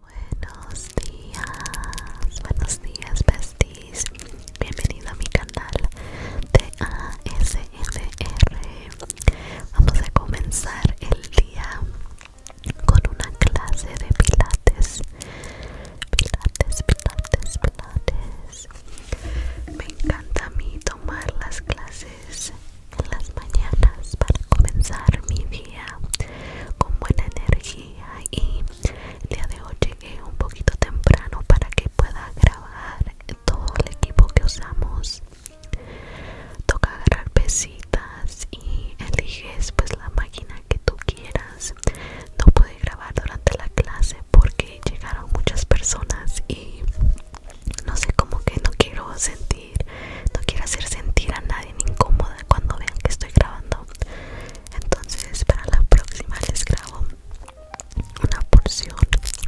Buenos días, buenos días besties, bienvenido a mi canal de Vamos a comenzar el día con una clase de pilates. Pilates, pilates, pilates. Me encanta a mí tomar las clases en las mañanas para comenzar mi día con buena energía y el día de hoy llegué un poquito temprano para que pueda grabar todo el equipo que usamos toca agarrar pesitas y eliges pues la máquina que tú quieras no pude grabar durante la clase porque llegaron muchas personas y no sé como que no quiero sentir no quiero hacer sentir a nadie incómoda cuando vean que estoy grabando entonces para la próxima les grabo una porción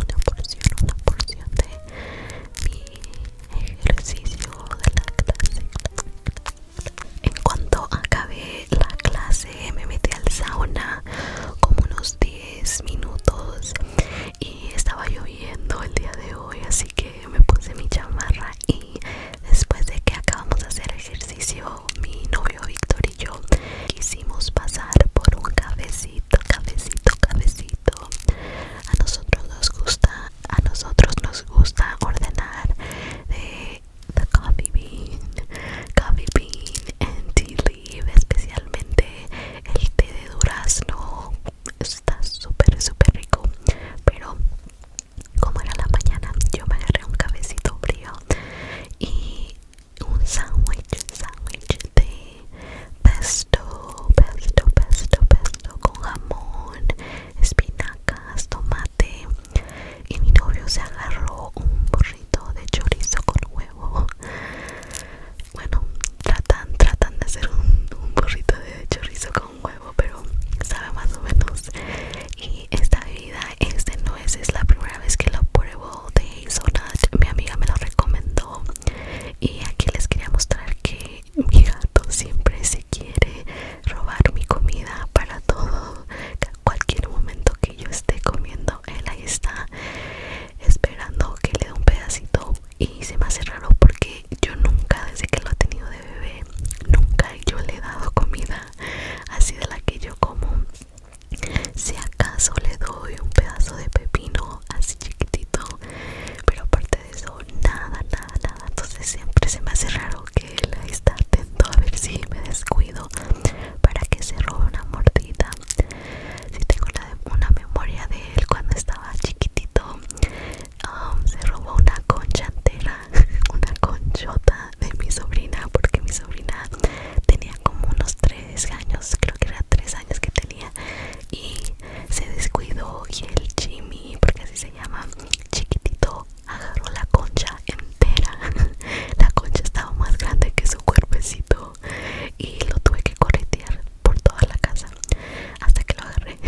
una porción una porción de mi ejercicio de la clase en cuanto acabé la clase me metí al sauna como unos 10 minutos y estaba lloviendo el día de hoy así que me puse mi chamarra y después de que acabamos de hacer ejercicio mi novio Víctor y yo quisimos pasar por un cafecito cafecito cafecito a nosotros nos gusta a nosotros nos gusta ordenar de the coffee bean coffee bean and tea especialmente el té de durazno. Está súper, súper rico. Pero como era la mañana, yo me agarré un cabecito frío y un sándwich, sándwich de pesto, pesto, pesto, pesto con jamón, espinacas, tomate. Y mi novio se agarró un burrito de chorizo con huevo bueno tratan tratan de hacer un, un burrito de chorizo con huevo pero sabe más o menos y esta bebida es de nueces la primera vez que lo pruebo de hazelnut mi amiga me lo recomendó y aquí les quería mostrar que mi gato siempre se quiere robar mi comida para todo cualquier momento que yo esté comiendo él ahí está esperando que le dé un pedacito y se me hace raro porque yo nunca desde que lo he tenido de bebé nunca yo le he dado comida así de la que yo como si acaso le doy un pedazo de pepino así chiquitito pero aparte de eso nada nada nada entonces siempre se me hace raro que él está atento a ver si me descuido para que se robe una mordida si tengo una, memoria de él cuando estaba chiquitito um, se robó una concha entera una conchota de mi sobrina porque mi sobrina tenía como unos 3 años creo que era 3 años que tenía y se descuidó y el Jimmy porque así se llama chiquitito agarró la concha entera la concha estaba más grande que su cuerpecito y lo tuve que corretear por toda la casa hasta que lo agarré.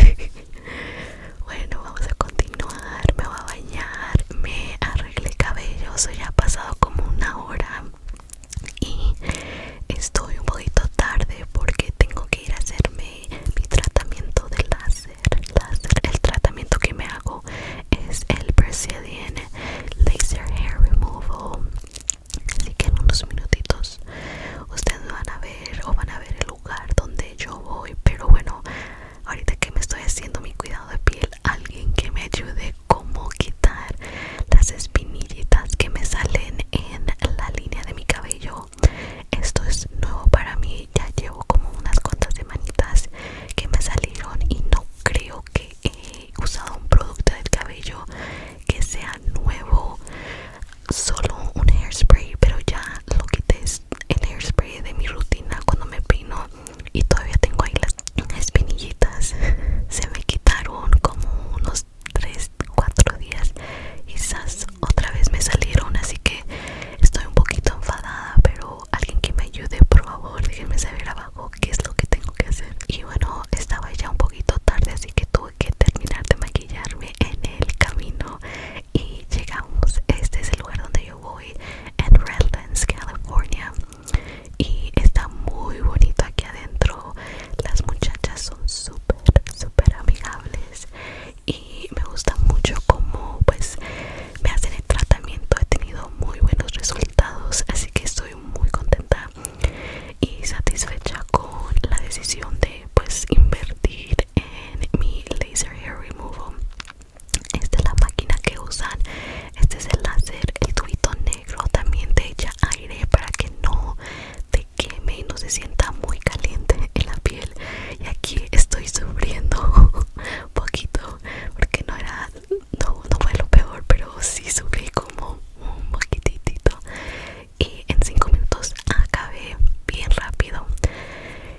bueno, vamos a continuar. Me voy a bañar, me arreglé el cabello, Se ha pasado como una hora y estoy un poquito tarde porque tengo que ir a hacerme mi tratamiento de láser. láser. El tratamiento que me hago es el Brazilian Laser Hair Removal Así que en unos minutitos ustedes van a ver o van a ver el lugar donde yo voy. Pero bueno, ahorita que me estoy haciendo mi cuidado de piel, alguien que me ayude cómo quitar las espinillitas que me salen en la línea de mi cabello. Esto es nuevo para mí. Ya llevo como unas cuantas semanitas que me salieron y no creo que usado un producto del cabello que sea nuevo solo un hairspray pero ya lo quité el hairspray de mi rutina cuando me peino y todavía tengo ahí las espinillitas se me quitaron como unos 3 4 días quizás otra vez me salieron así que estoy un poquito enfadada pero alguien que me ayude por favor déjenme saber abajo que qué es lo que tengo que hacer. Y bueno, estaba ya un poquito tarde, así que tuve que terminar de maquillarme en el camino. Y llegamos, este es el lugar donde yo voy, en Redlands, California. Y está muy bonito aquí adentro. Las muchachas son súper, súper amigables. Y me gusta mucho cómo pues me hacen el tratamiento. He tenido muy buenos resultados. Así que estoy muy contenta y satisfecha con la decisión de pues invertir en mi laser hair removal esta es la máquina que usan este es el láser el tubito negro también te echa aire para que no te queme y no se sienta muy caliente en la piel y aquí estoy sufriendo un poquito porque no era no, no fue lo peor, pero sí subí como un poquitito y en 5 minutos acabé bien rápido.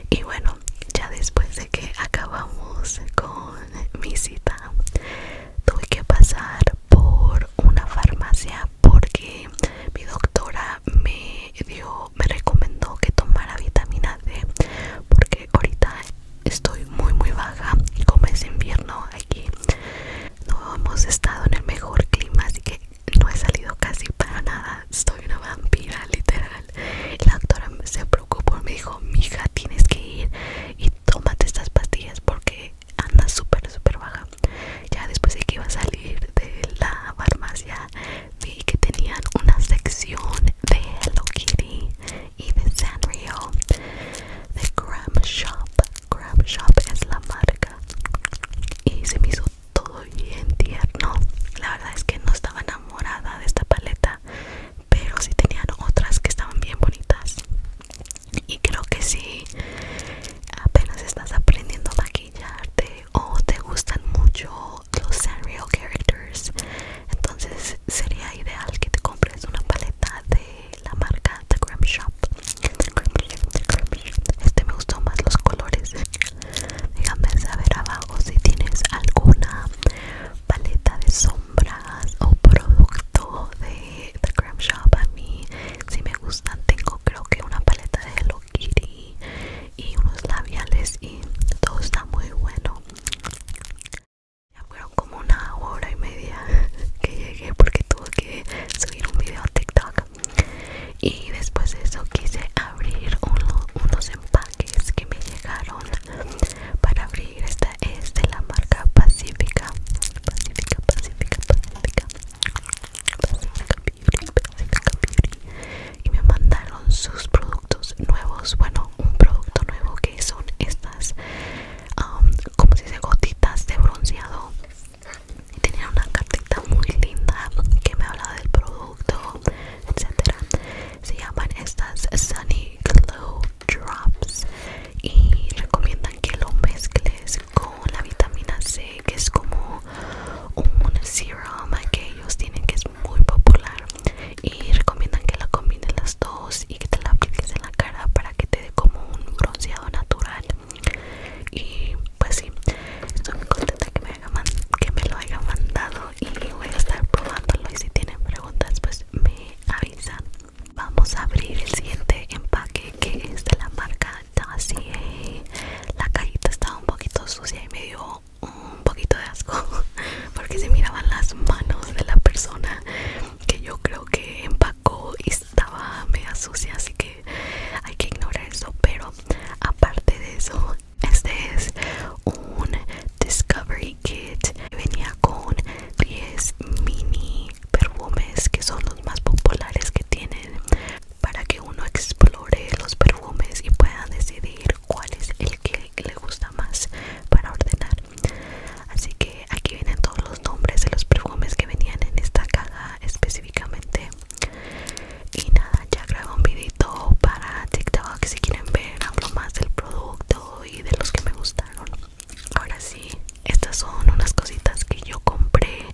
Y bueno, ya después de que acabamos con mi cita, tuve que pasar por una farmacia porque mi doctora me dio, me recomendó que tomara vitamina D porque ahorita estoy muy muy baja y como es invierno aquí no hemos estado en el mejor clima así que no he salido casi para nada estoy una vampira literal la doctora se preocupó y me dijo mija tienes que ir y tómate estas pastillas porque andas súper súper baja ya después de que iba a salir de la farmacia vi que tenían una sección de Hello Kitty y de Sanrio de Crab Shop. Crab Shop es la marca y se me hizo todo bien tierno. La verdad es que no estaba enamorada de esta paleta, pero si tenían otras que estaban bien bonitas. Y creo que si apenas estás aprendiendo a maquillarte o te gustan mucho los Sanrio characters, entonces sería ideal que te compres una paleta de la marca The Creme Shop. Este me gustó más los colores. Déjame saber abajo si tienes alguna paleta de sombras o producto de The Creme Shop. A mí si me gustan, tengo creo que una paleta de Hello Kitty y unos labiales y todo está muy bueno fueron como una hora y media que llegué porque tuve que subir un video a TikTok. Y después de eso quise abrir unos empaques que me llegaron para abrir. Esta es de la marca Pacífica. Pacífica, Pacífica, Pacífica. Pacífica Beauty, Beauty. Y me mandaron sus productos nuevos. Bueno, un producto nuevo que son estas como si se gotitas de bronceado y tenía una cartita muy linda que me hablaba del producto etcétera se llaman estas Sunny Glow Drops y recomiendan que lo mezcles con la vitamina C que es como un serum que ellos tienen que es muy popular y recomiendan que la combines las dos y que te la apliques en la cara para que te dé como un bronceado natural y pues sí estoy muy contenta que me, lo hayan mandado y voy a estar probándolo y si tienen preguntas pues me avisan vamos a abrir el siguiente empaque que es de la marca así la cajita estaba un poquito sucia y me dio un poquito de asco porque se miraban las manos de la persona que yo creo que empacó y estaba mega sucia así que hay que ignorar eso pero aparte de eso este es un discovery kit que venía con 10 mini perfumes que son los más populares que tienen para que uno explore los perfumes y pueda decidir cuál es el que le gusta más para ordenar Así que aquí vienen todos los nombres de los perfumes que venían en esta caja específicamente. Y nada, ya grabé un videito para TikTok si quieren ver. Hablo más del producto y de los que me gustaron. Ahora sí, estas son unas cositas que yo compré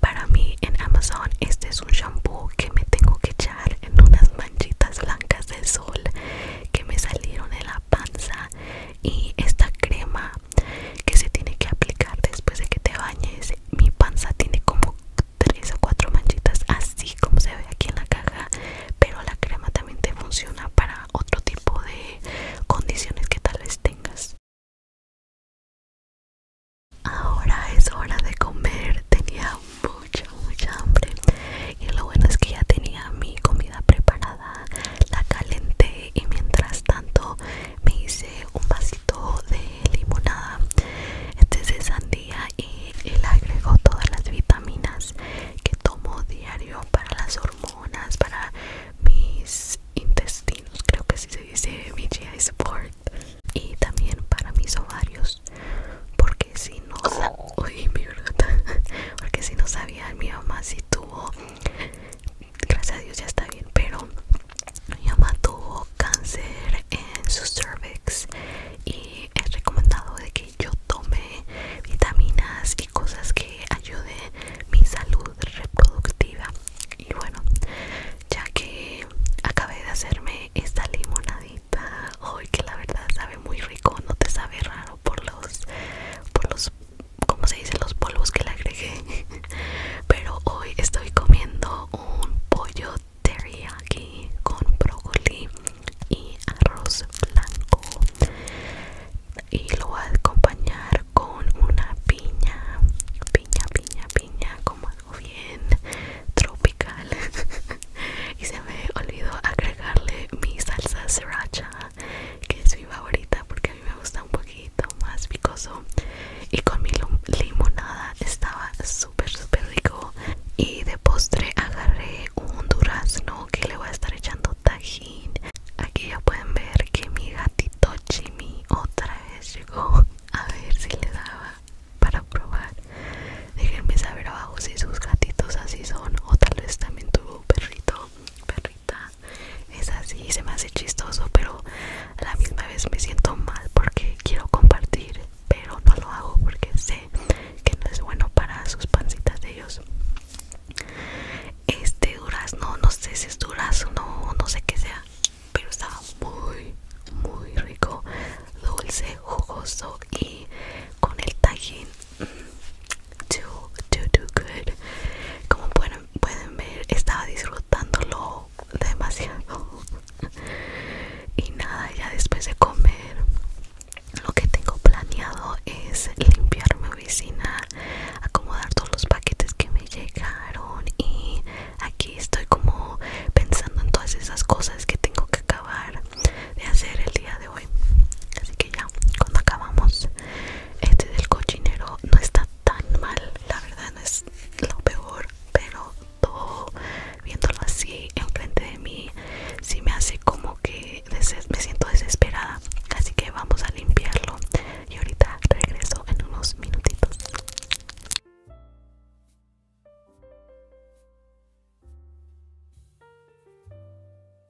para mí en Amazon. Este es un shampoo que me tengo que echar en unas manchitas blancas del sol que me salieron en la panza y esta crema que se tiene que aplicar después de que te bañes mi panza tiene como 3 o 4 manchitas así como se ve aquí en la caja pero la crema también te funciona para otro tipo de condiciones que tal vez tengas ahora es hora de comer tenía mucha mucha hambre y lo bueno es que ya tenía mi comida preparada la calenté y mientras tanto me hice un vasito de limonada este es de sandía y él agregó todas las vitaminas que tomo diario para las hormonas para mis intestinos creo que así se dice mi GI support y también para mis ovarios porque si no Oye, mi verdad. Porque si no sabía, mi mamá sí tuvo. Gracias a Dios ya está bien. Pero mi mamá tuvo cáncer en su cervix. Y es recomendado que yo tome vitaminas y cosas que ayuden mi salud reproductiva. Y bueno, ya que acabé de hacerme esta limonadita. Hoy que la verdad sabe muy rico, no te sabe raro por los por los como se dice los polvos que le agregué pero hoy estoy comiendo un pollo teriyaki con brócoli y arroz blanco y lo voy a acompañar con una piña piña piña piña como algo bien tropical y se me olvidó agregarle mi salsa sriracha que es mi favorita porque a mí me gusta un poquito más picoso y con mi limonada estaba súper súper rico y de postre agarré un durazno que le voy a estar echando tajín aquí ya pueden ver que mi gatito Jimmy otra vez llegó a ver si le daba para probar déjenme saber abajo si sus gatitos así son o tal vez también tuvo perrito, perrita. Es así, se me hace chistoso, pero a la misma vez me siento mal porque quiero compartir, pero no lo hago porque sé que no es bueno para sus pancitas de ellos. Este durazno, no sé si es durazno, no sé qué sea, pero estaba muy, muy rico, dulce, jugoso y con el tajín to, do good. Como pueden, ver, estaba disfrutándolo demasiado. y nada, ya después de comer, lo que tengo planeado es limpiar mi oficina, acomodar todos los paquetes que me llegaron y aquí estoy como pensando en todas esas cosas que tengo que acabar de hacer el día de hoy así que ya cuando acabamos este del cochinero no está tan mal la verdad no es lo peor pero todo viéndolo así enfrente de mí si me hace como que me siento desesperada así que vamos a limpiarlo y ahorita regreso en unos minutitos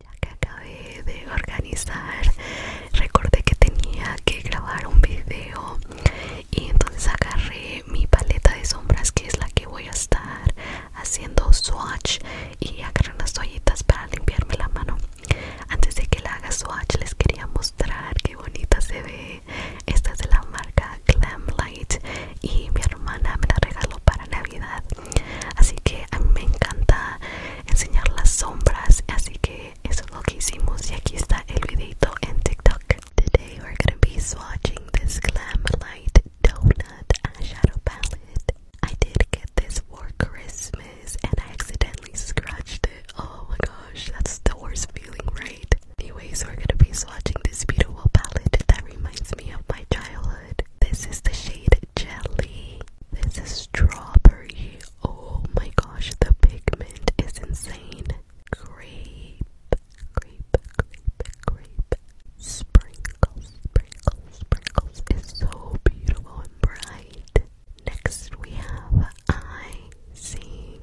Ya que acabé de organizar, recordé que tenía que grabar un video y entonces agarré mi paleta de sombras que es la que voy a estar haciendo swatch y agarré unas toallitas para limpiarme la mano antes de que la haga swatch les quería mostrar qué bonita se ve esta es de la marca Glam Light y mi hermana me la regaló para navidad así que a mí me encanta enseñar las sombras así que Eso es lo que hicimos y aquí está TikTok. Today we're gonna be swatching this Glam Light Donut Shadow palette. I did get this for Christmas and I accidentally scratched it. Oh my gosh, that's the worst feeling, right? Anyways, we're gonna be swatching this beautiful palette that reminds me of my childhood. This is the shade Jelly. This is strawberry. Oh my gosh, the pigment is insane. Grape, grape, grape, grape. Sprinkles, sprinkles, sprinkles is so beautiful and bright. Next we have I Sing,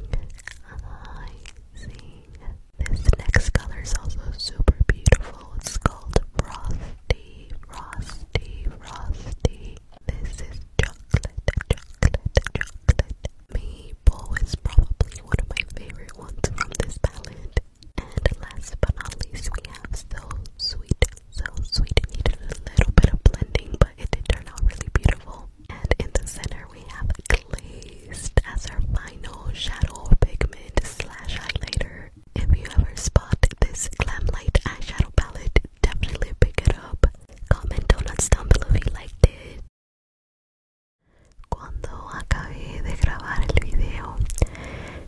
This next color is also super beautiful. It's called Frosty, Frosty, Frosty. This is chocolate, chocolate, chocolate. Maple is probably one of my favorite ones from this palette. And last but not least, we have so sweet, so sweet. It needed a little bit of blending, but it did turn out really beautiful. And in the center, we have glazed as our final shadow pigment slash highlighter. If you ever spot this glam light eyeshadow palette, definitely pick up. Comment donuts down liked Cuando acabé de grabar el video,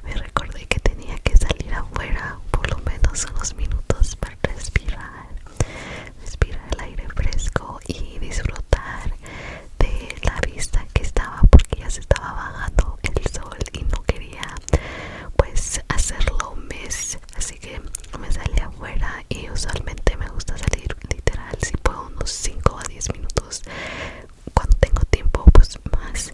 me recordé que tenía que salir afuera por lo menos unos minutos para respirar, respirar el aire fresco y disfrutar de la vista que estaba porque ya se estaba bajando el sol y no quería pues hacerlo mes así que me sale afuera y usualmente me gusta salir literal si puedo unos 5 a 10 minutos cuando tengo tiempo pues más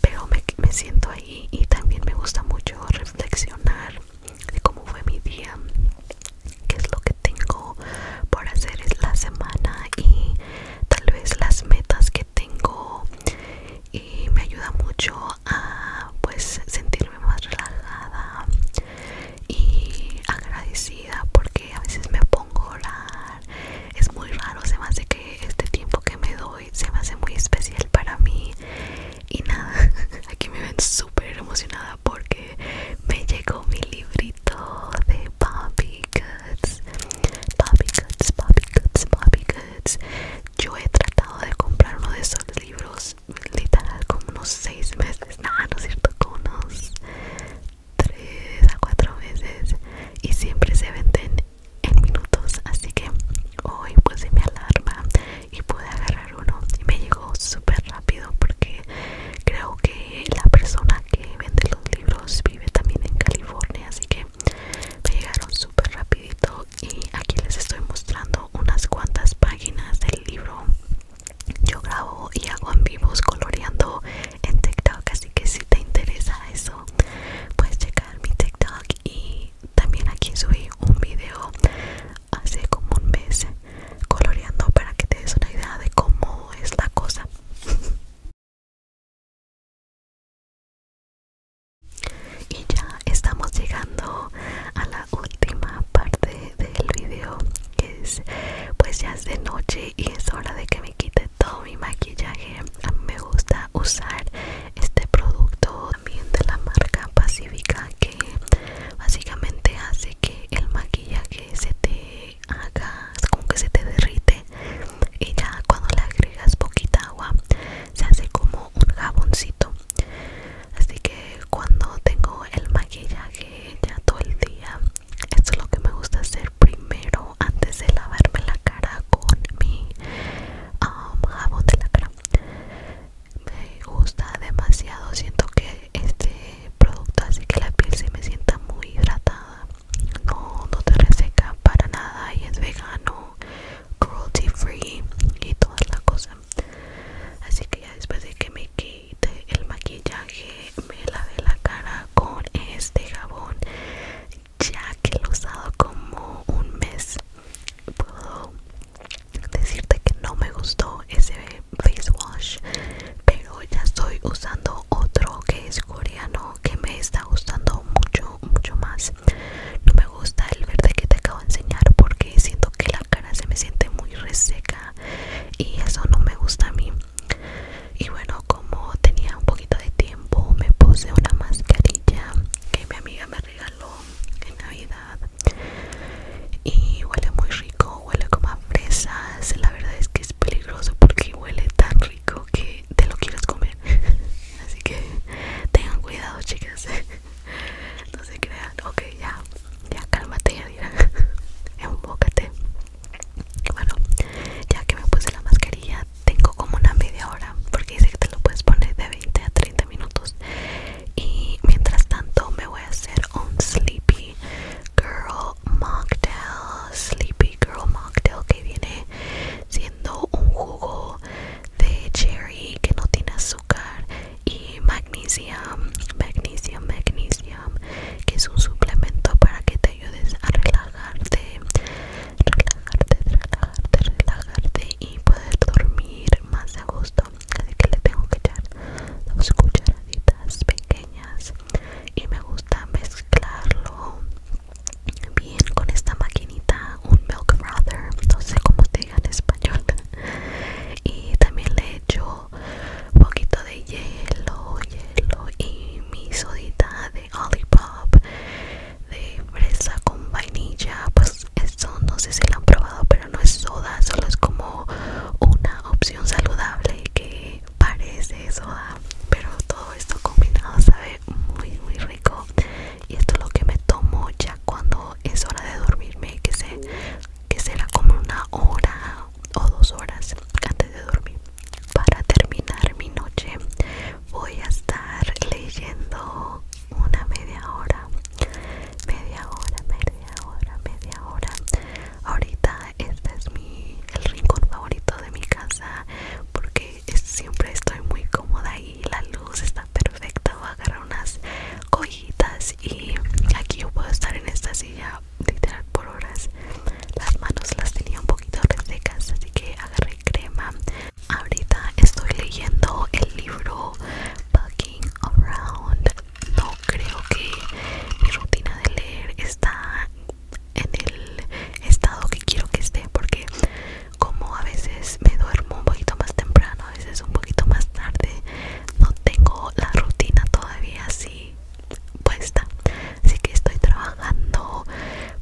pero me, siento ahí y también me gusta mucho reflexionar de cómo fue mi día qué es lo que tengo por hacer es la semana y tal vez las metas que tengo y me ayuda mucho a pues sentir más relajada y agradecida porque a veces me pongo a orar es muy raro se me hace que este tiempo que me doy se me hace muy especial para mí y nada aquí me ven súper emocionada porque me llegó mi librito de Bobby Goods Bobby Goods Bobby Goods Bobby Goods yo he tratado de comprar uno de esos libros literal, como unos 6 meses, nada, no es cierto, como unos 3 a 4 meses y siempre se venden en minutos, así que hoy puse mi alarma y pude agarrar uno y me llegó súper rápido porque creo que la persona que vende los libros vive también en California, así que me llegaron súper rapidito y aquí les estoy mostrando unas cuantas páginas del libro yo grabo y hago en vivos coloreando en TikTok así que si te interesa eso puedes checar mi TikTok y también aquí subí un video hace como un mes coloreando para que te des una idea de cómo es la cosa y ya estamos llegando a la última parte del video es pues ya es de noche y es hora de que me quite todo mi maquillaje me gusta usar este producto también de la marca pacífica que básicamente hace que el maquillaje se te haga como que se te derrite y ya cuando le agregas poquita agua se hace como un jaboncito así que cuando tengo el maquillaje ya todo el día esto es lo que me gusta hacer primero antes de lavarme la cara con mi um, jabón de la cara me gusta demasiado siento que este producto hace que la piel se me sienta muy hidratada no te reseca para nada y es vegano cruelty free y toda la cosa así que ya después de que me quite el maquillaje me lavé la cara con este jabón ya que lo he usado como un mes puedo decirte que no me gustó ese face wash pero ya estoy usando otro que es coreano que me está gustando mucho mucho más no me gusta el verde que te acabo de enseñar porque siento que la cara se me siente muy reseca y eso no me gusta a mí y bueno como tenía un poquito de tiempo me puse una mascarilla que mi amiga me regaló en navidad y huele muy rico huele como a fresas la verdad es que es peligroso porque huele tan rico que te lo quieres comer así que tengan cuidado chicas no se crean. Ok, ya, ya cálmate, Yadira. Enfócate. Bueno, ya que me puse la mascarilla, tengo como una media hora. Porque dice que te lo puedes poner de 20 a 30 minutos. Y mientras tanto, me voy a hacer un Sleepy Girl Mocktail. Sleepy Girl Mocktail que viene siendo un jugo de cherry que no tiene azúcar y magnesium, magnesium, magnesium, que es un suplemento para que te ayudes a relajarte, relajarte, relajarte, relajarte y poder dormir más a gusto. Así que le tengo que echar dos cucharaditas pequeñas y me gusta mezclarlo bien con esta maquinita, un milk frother, no sé cómo te en español y también le echo un poquito de hielo hielo y mi sodita de olipop de fresa con vainilla pues eso no sé si lo han probado pero no es soda solo es como una opción saludable que parece soda pero todo esto combinado sabe muy muy rico y esto es lo que me tomo ya cuando es hora de dormirme que que será como una hora o dos horas antes de dormir para terminar mi noche voy a estar leyendo una media hora media hora media hora media hora ahorita este es mi el rincón favorito de mi casa porque siempre estoy muy cómoda y la luz está perfecto perfecta voy a agarrar unas cojitas y aquí yo puedo estar en esta silla literal por horas las manos las tenía un poquito resecas así que agarré crema ahorita estoy leyendo el libro Bucking Around no creo que mi rutina de leer está en el estado que quiero que esté porque como a veces me duermo un poquito más temprano, a veces un poquito más tarde, no tengo la rutina todavía así puesta, así que estoy trabajando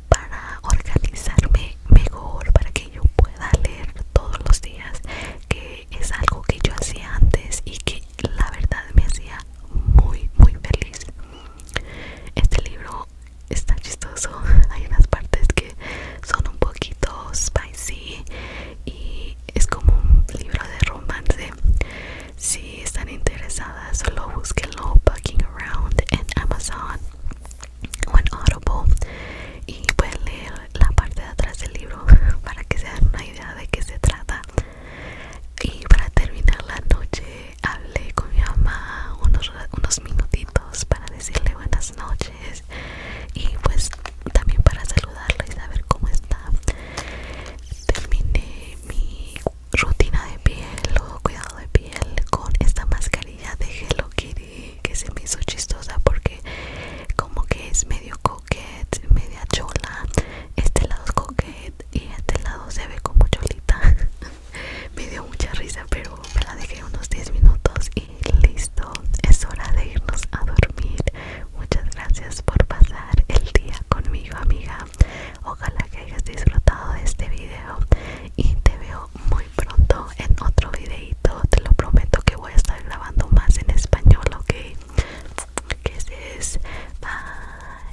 para organizarme mejor, para que yo pueda leer todos los días, que es algo que yo hacía antes y que la verdad me hacía muy, muy feliz. Este libro está chistoso, hay unas partes que son un poquito sí y es como un libro de romance si están interesadas solo búsquenlo Bucking Around en Amazon o en Audible y pueden leer la parte de atrás del libro para que se den una idea de qué se trata y para terminar la noche hablé con mi mamá unos, unos minutitos para decirle buenas noches y pues también para saludarlo y saber cómo está terminé mi rutina de piel o cuidado de piel con esta mascarilla de Hello Kitty que se me hizo chistosa porque como que es medio coquette media chola este lado es coquette y este lado se ve como cholita me dio mucha risa pero me la dejé unos 10 minutos y listo, es hora de irnos a dormir. Muchas gracias por pasar el día conmigo, amiga. Ojalá que hayas disfrutado de este video y te veo muy pronto en otro videito. Te lo prometo que voy a estar grabando más en español, ¿ok? Que es bye.